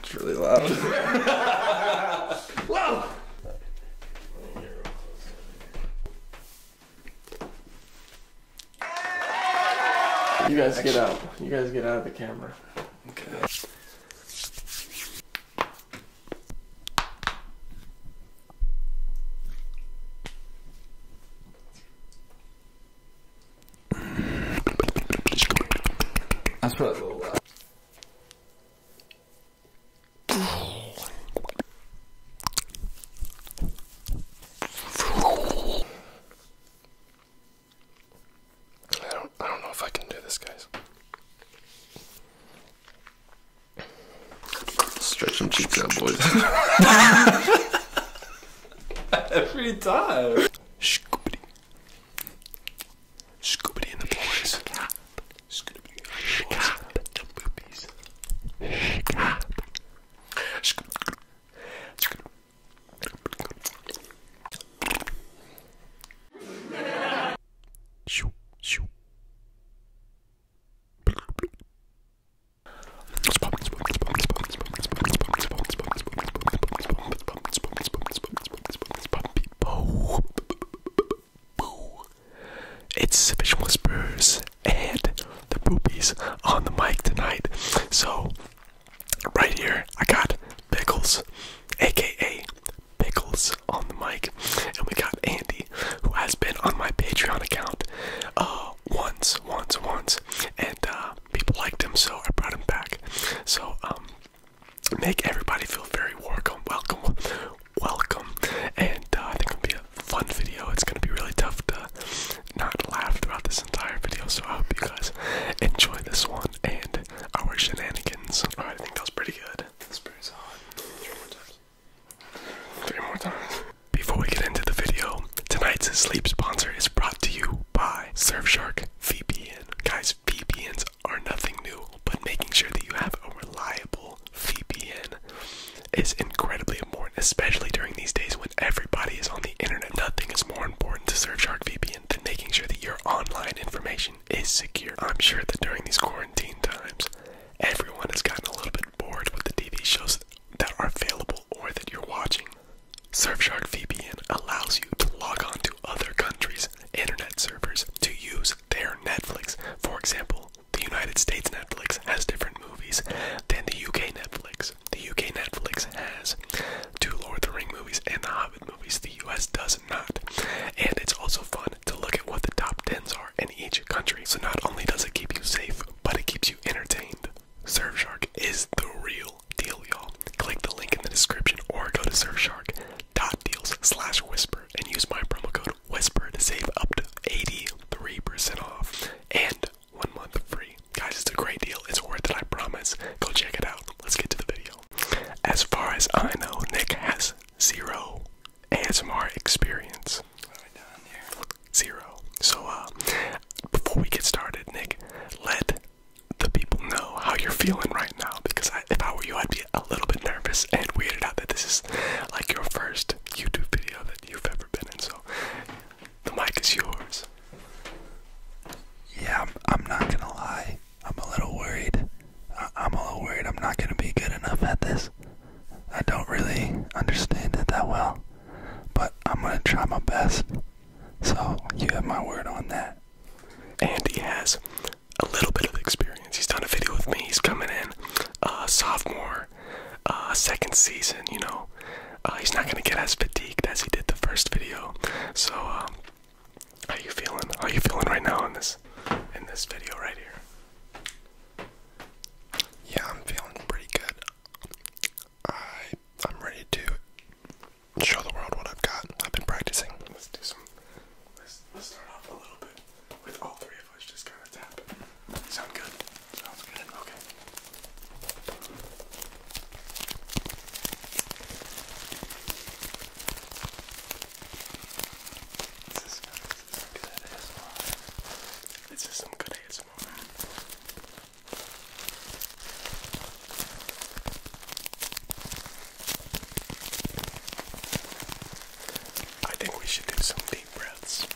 It's really loud. Whoa! You guys get out. You guys get out of the camera. Okay. That's probably I don't I don't know if I can do this guys. Stretch cheeks out boys. Every time. Scoobity and the boys. Scoobity and the boys. The boobies. Shoo, shoo. It's Fish Whispers and the Poopies on the mic tonight. So, right here, I got Pickles, aka Pickles, on the mic, and we got Andy, who has been on my Patreon account uh, once, once, once, and uh, people liked him, so I brought him back. So, um, make everybody feel very welcome, welcome, welcome. And uh, I think it'll be a fun video. It's gonna be really tough to not laugh throughout this entire video. So I hope you guys enjoy this one and our shenanigans. All right, I think that was pretty good. This That's pretty solid. Three more times. Before we get into the video, tonight's sleep sponsor is brought to you by Surfshark VPN. Guys, VPNs are nothing new, but making sure that you have a reliable VPN is incredibly important, especially during these days when everybody is on the internet. Nothing is more important to Surfshark VPN than making sure that your online information is secure. I'm sure that during these quarantine times, everyone has gotten a little bit bored with the TV shows that are available or that you're watching. Surfshark VPN allows you to log on to other countries' internet servers to use their Netflix. For example, the United States Netflix has different movies than the UK Netflix. The UK Netflix has two Lord of the Rings movies and the Hobbit movies. The US does not. And it's also fun to look at what the top 10s are in each country. So not only does it keep you safe, but it keeps you entertained. Surfshark is the real deal, y'all. Click the link in the description or go to surfshark.deals slash whisper and use my promo code whisper to save up to 83% off and one month free. Guys, it's a great deal. It's worth it, I promise. Go check it out. Let's get to the video. As far as I know, Nick has zero ASMR experience. Zero. So, uh, before we get started, Nick, let the people know how you're feeling right now because if I were you, I'd be a little bit nervous and weirded out that this is like your first YouTube video that you've ever been in. So the mic is yours. Yeah, I'm, not gonna lie. I'm a little worried. I'm a little worried I'm not gonna be good enough at this. I don't really understand it that well, but I'm gonna try my best. So you have my word on that and he has a little bit of experience. He's done a video with me. He's coming in, uh, sophomore, uh, second season. You know, uh, he's not gonna get as fatigued as he did the first video. So, um, how you feeling? How you feeling right now in this in this video right here? Yeah, I'm feeling pretty good. I I'm ready to show the world what I've got. I've been practicing. Let's do some. Let's, let's start off a little bit with all three of us just kind of tap. Sound good? Sounds good. Okay. This is, this is good This is some good ASMR. I think we should do some deep breaths.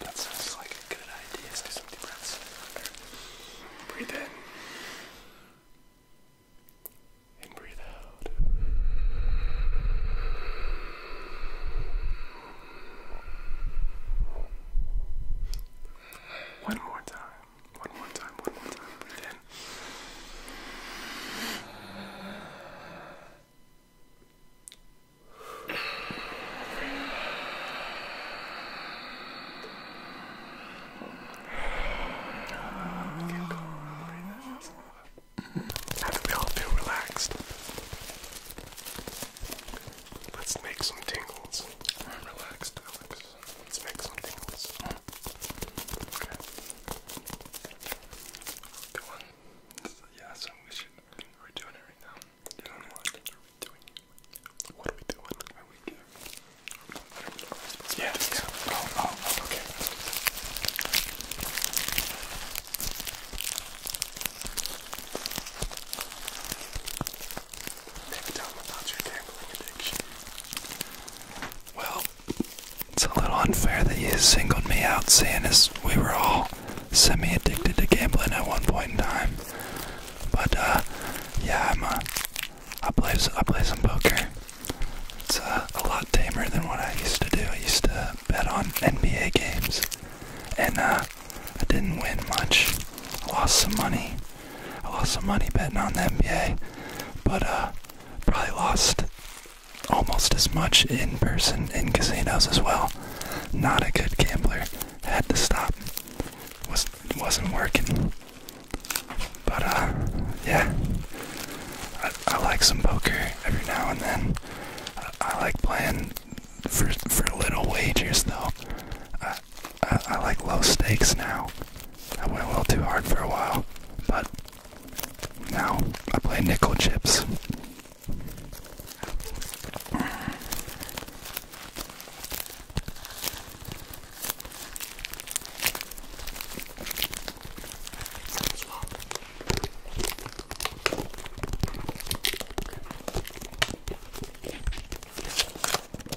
That sounds like a good idea. do some deep breaths. Breathe in. And breathe out. One more time. One more time, one more time. Breathe in. How we all feel relaxed? Let's make some tingles. I'm relaxed, Alex. Let's make some tingles. Okay. Good one. So, yeah, so we should. We're doing it right now. Doing what? Are we doing? What are we doing? Are we doing? Yeah. yeah. Oh, oh, oh, okay. Nick, tell them about your gambling addiction. Well, it's a little unfair that you singled me out, seeing as we were all semi-addicted to gambling at one point in time. But uh, yeah, I'm a, uh, I play I play some poker. It's uh, a lot tamer than what I used to do. I used to bet on NBA games, and I didn't win much. I lost some money. I lost some money betting on the NBA, but uh, probably lost almost as much in person in casinos as well. Not a good gambler. Had to stop. Was not working. But uh, yeah, I, like some poker every now and then. I, like playing for for little wagers though. I, like low stakes now. I went a little too hard for a while, but now I play nickel chips. You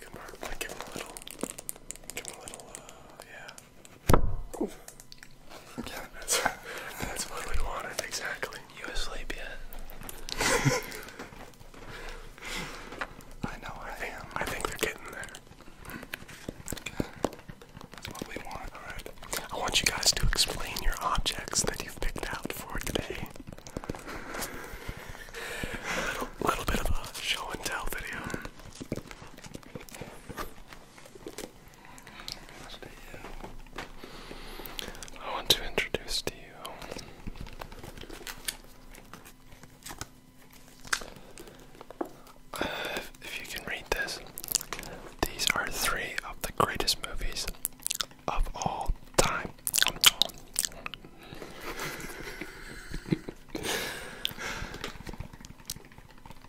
can mark, give him a little, give him a little, uh, yeah. Ooh. Yeah, that's, what we wanted, exactly. You asleep yet? I know I, am. I think they're getting there what we want. Alright. I want you guys to explain your objects that you've picked out for today. A little, bit of a show and tell video. I want to introduce to you. Uh, if you can read this, these are three of the greatest movies of all time.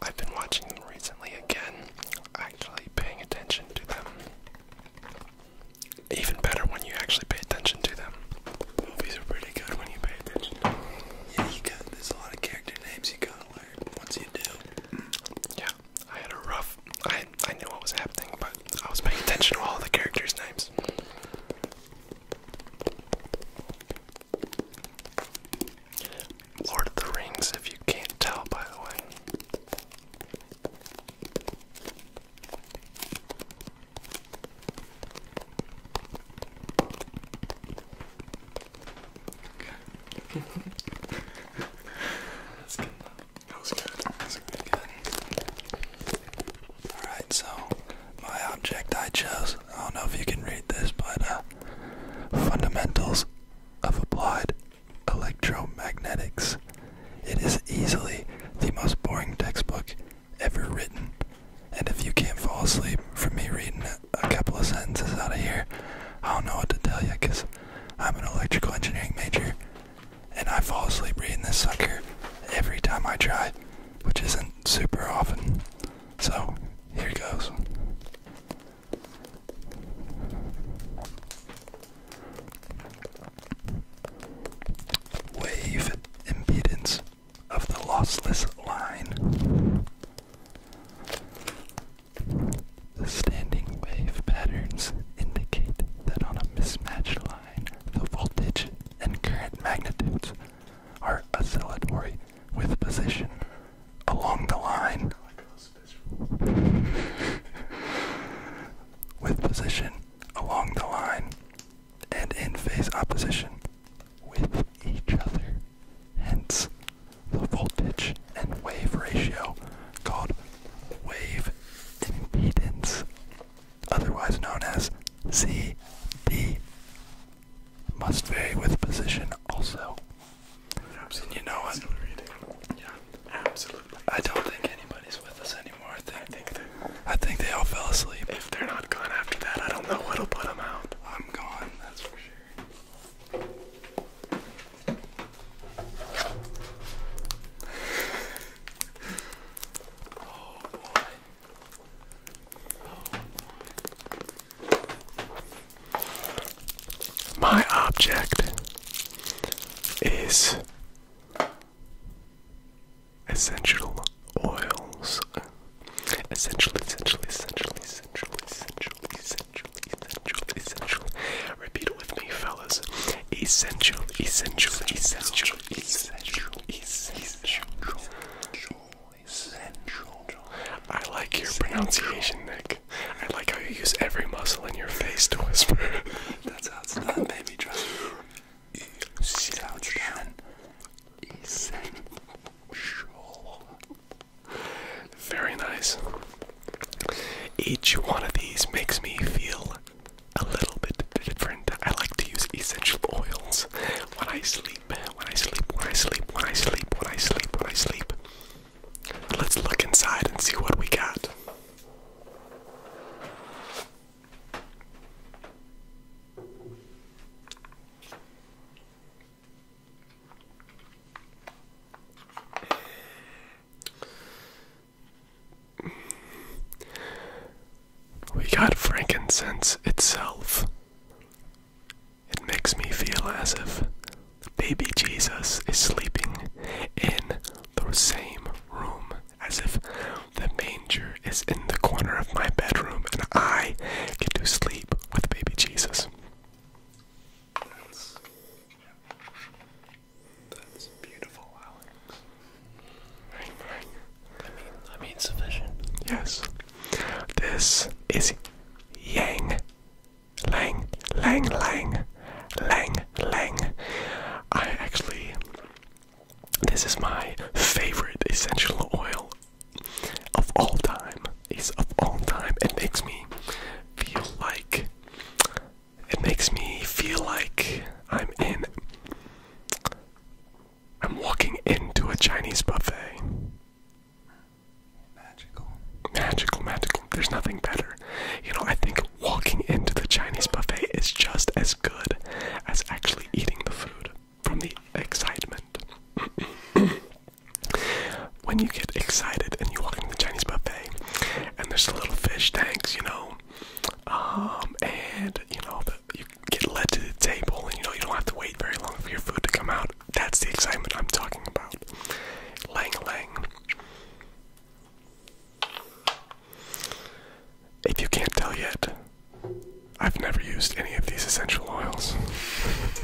I've been watching them recently again, actually paying attention to them. Even better when you actually pay attention to them. Movies are pretty good when you pay attention. Yeah, you got there's a lot of character names you gotta learn once you do. Yeah. I had a rough. I I knew what was happening, but I was paying attention to all the characters' names. Lord of the Rings, if you can't tell, by the way. Okay. That's good. That was good. That was good Alright, so my object I chose, I don't know if you can read this, but uh, fundamentals of applied electromagnetics. It is easily the most boring textbook ever written. And if you can't fall asleep from me reading a couple of sentences out of here, I don't know what to tell you because I'm an electrical engineering major and I fall asleep reading this sucker every time I try, which isn't super often. So, here goes. Wave impedance of the lossless line. The standing wave patterns indicate that on a mismatched line, the voltage and current magnitudes are oscillatory with position along the line. with position along the line and in phase opposition with each other. Hence, the voltage and wave ratio called wave impedance, otherwise known as CD. Must vary with position also. you know what? Yeah, absolutely. I don't think anybody's with us anymore. I think, they, I think they all fell asleep. If they're not gone after that, I don't know what'll put them out. I'm gone, that's for sure. My object is essential oils. Essential, essential, essential, essential, essential, essential, essential, essential, essential. Repeat it with me, fellas. Essential, essential, essential, essential, essential, essential. I like your pronunciation, Nick. I like how you use every muscle in your face to whisper. That's how it's done, baby. Trust me. That's how it's done. Essential. Very nice. Each one of these makes me feel a little bit different. I like to use essential oils when I sleep, when I sleep, when I sleep, when I sleep, when I sleep, when I sleep. Let's look inside and see what we got. We got frankincense itself. It makes me feel as if baby Jesus is sleeping in the same room, as if the manger is in the corner of my bedroom and I get to sleep with baby Jesus. That's beautiful, Alex. Right, right. I mean, I mean sufficient. Yes. This is Yang. Lang, lang, lang, lang, lang. I actually, this is my favorite essential oil of all time. Is of all time. It makes me feel like it makes me feel like I'm in. I'm walking into a Chinese buffet. Magical. Magical, magical. There's nothing better. You know, I think walking into the Chinese buffet is just as good as actually eating the food from the excitement. when you get excited and you walk into the Chinese buffet and there's the little fish tanks, you know, um, and you know, the, you get led to the table and you know, you don't have to wait very long for your food to come out. That's the excitement I'm talking about. Lang Lang. If you can't tell yet, I've never used any of these essential oils.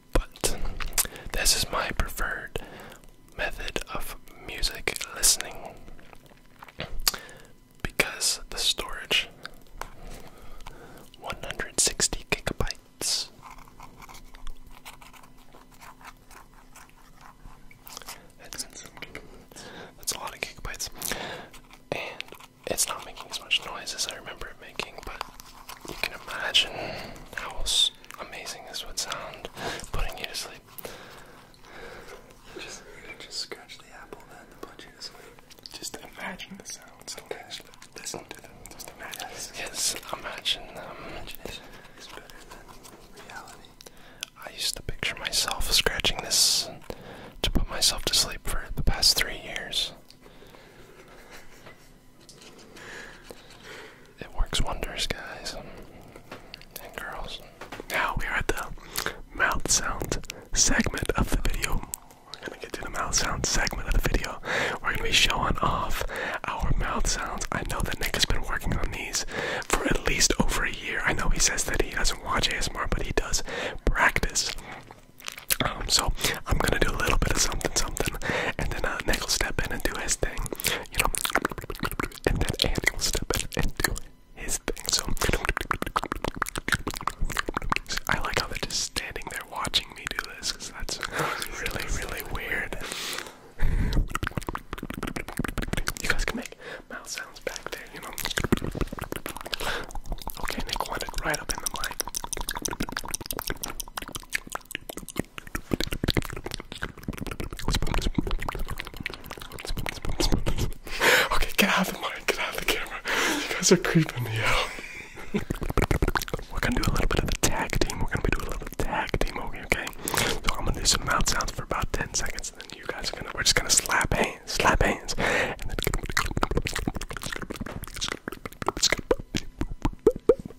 But this is my preferred method of music listening because the storage 160 gigabytes. That's, that's a lot of gigabytes. And it's not making as much noise as I remember but you can imagine how amazing this would sound putting you to sleep. Just, just scratch the apple and put you to sleep. Just imagine the sounds. Okay. Listen to them. Just imagine. them. Um, Imagination better than reality. I used to picture myself scratching this to put myself to sleep for the past three years. It works wonders, guys and girls. Now we are at the mouth sound segment of the video. We're gonna get to the mouth sound segment of the video. We're gonna be showing off our mouth sounds. I know that Nick has been working on these for at least over a year. I know he says that he doesn't watch ASMR, but he does practice um, so I'm gonna do a little bit of something, something, and then uh, Nick will step in and do his thing, you know, and then Andy will step in and do his thing. So I like how they're just standing there watching me do this, that's really, really weird. You guys can make mouth sounds back there, you know. Okay, Nick wanted right up in the mic okay, get out of the mic, get out of the camera. You guys are creeping me out. we're gonna do a little bit of the tag team. We're gonna be doing a little tag team, okay? So I'm gonna do some mouth sounds for about 10 seconds, and then you guys are gonna, we're just gonna slap hands, slap hands,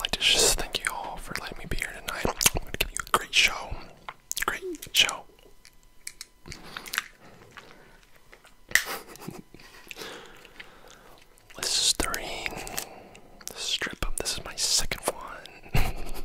i just thank you all for letting me be here tonight. I'm gonna give you a great show. Great show. Listerine. Strip up. This is my second one.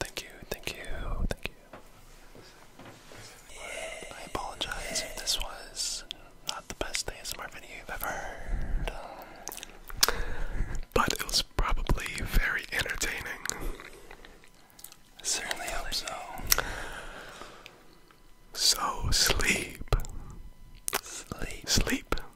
Thank you, thank you, thank you. I apologize if this was not the best ASMR video you've ever heard. Um, but it was probably very entertaining. certainly so. So sleep. Sleep. Sleep.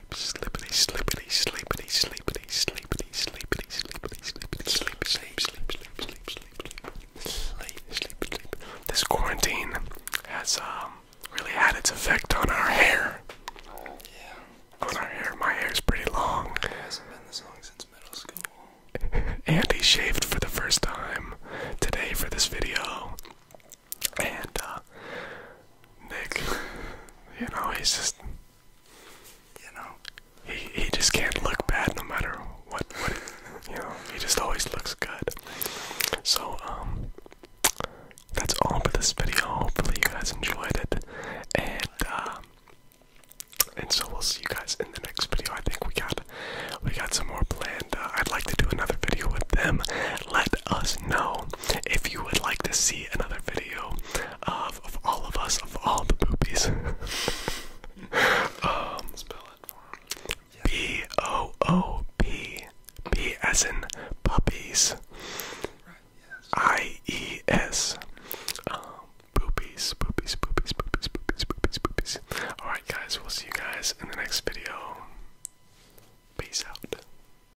sleep, sleepity, sleepity, sleepity, sleepity, sleepity, sleepity, sleepity, sleepity, sleep, sleep, sleep, sleep, sleep, sleep, sleep, sleep. This quarantine has um really had its effect on our hair. Yeah. On our hair. My hair's pretty long. It hasn't been this long since middle school. Andy shaved for the first time today for this video. And uh, Nick, you know, he's just, you know, he he just can't look bad no matter what. what you know, he just always looks good. So um, that's all for this video. Hopefully you guys enjoyed it, and uh, and so we'll see you guys in the next video. I think we got we got some more planned. Uh, I'd like to do another video with them. Let us know if you would like to see another video of, all of us, of all the boobies. um, Spell it for him. B O O P. B as in puppies. I E S. Um, boobies, boobies, boobies, boobies, boobies, boobies, Alright, guys, we'll see you guys in the next video. Peace out.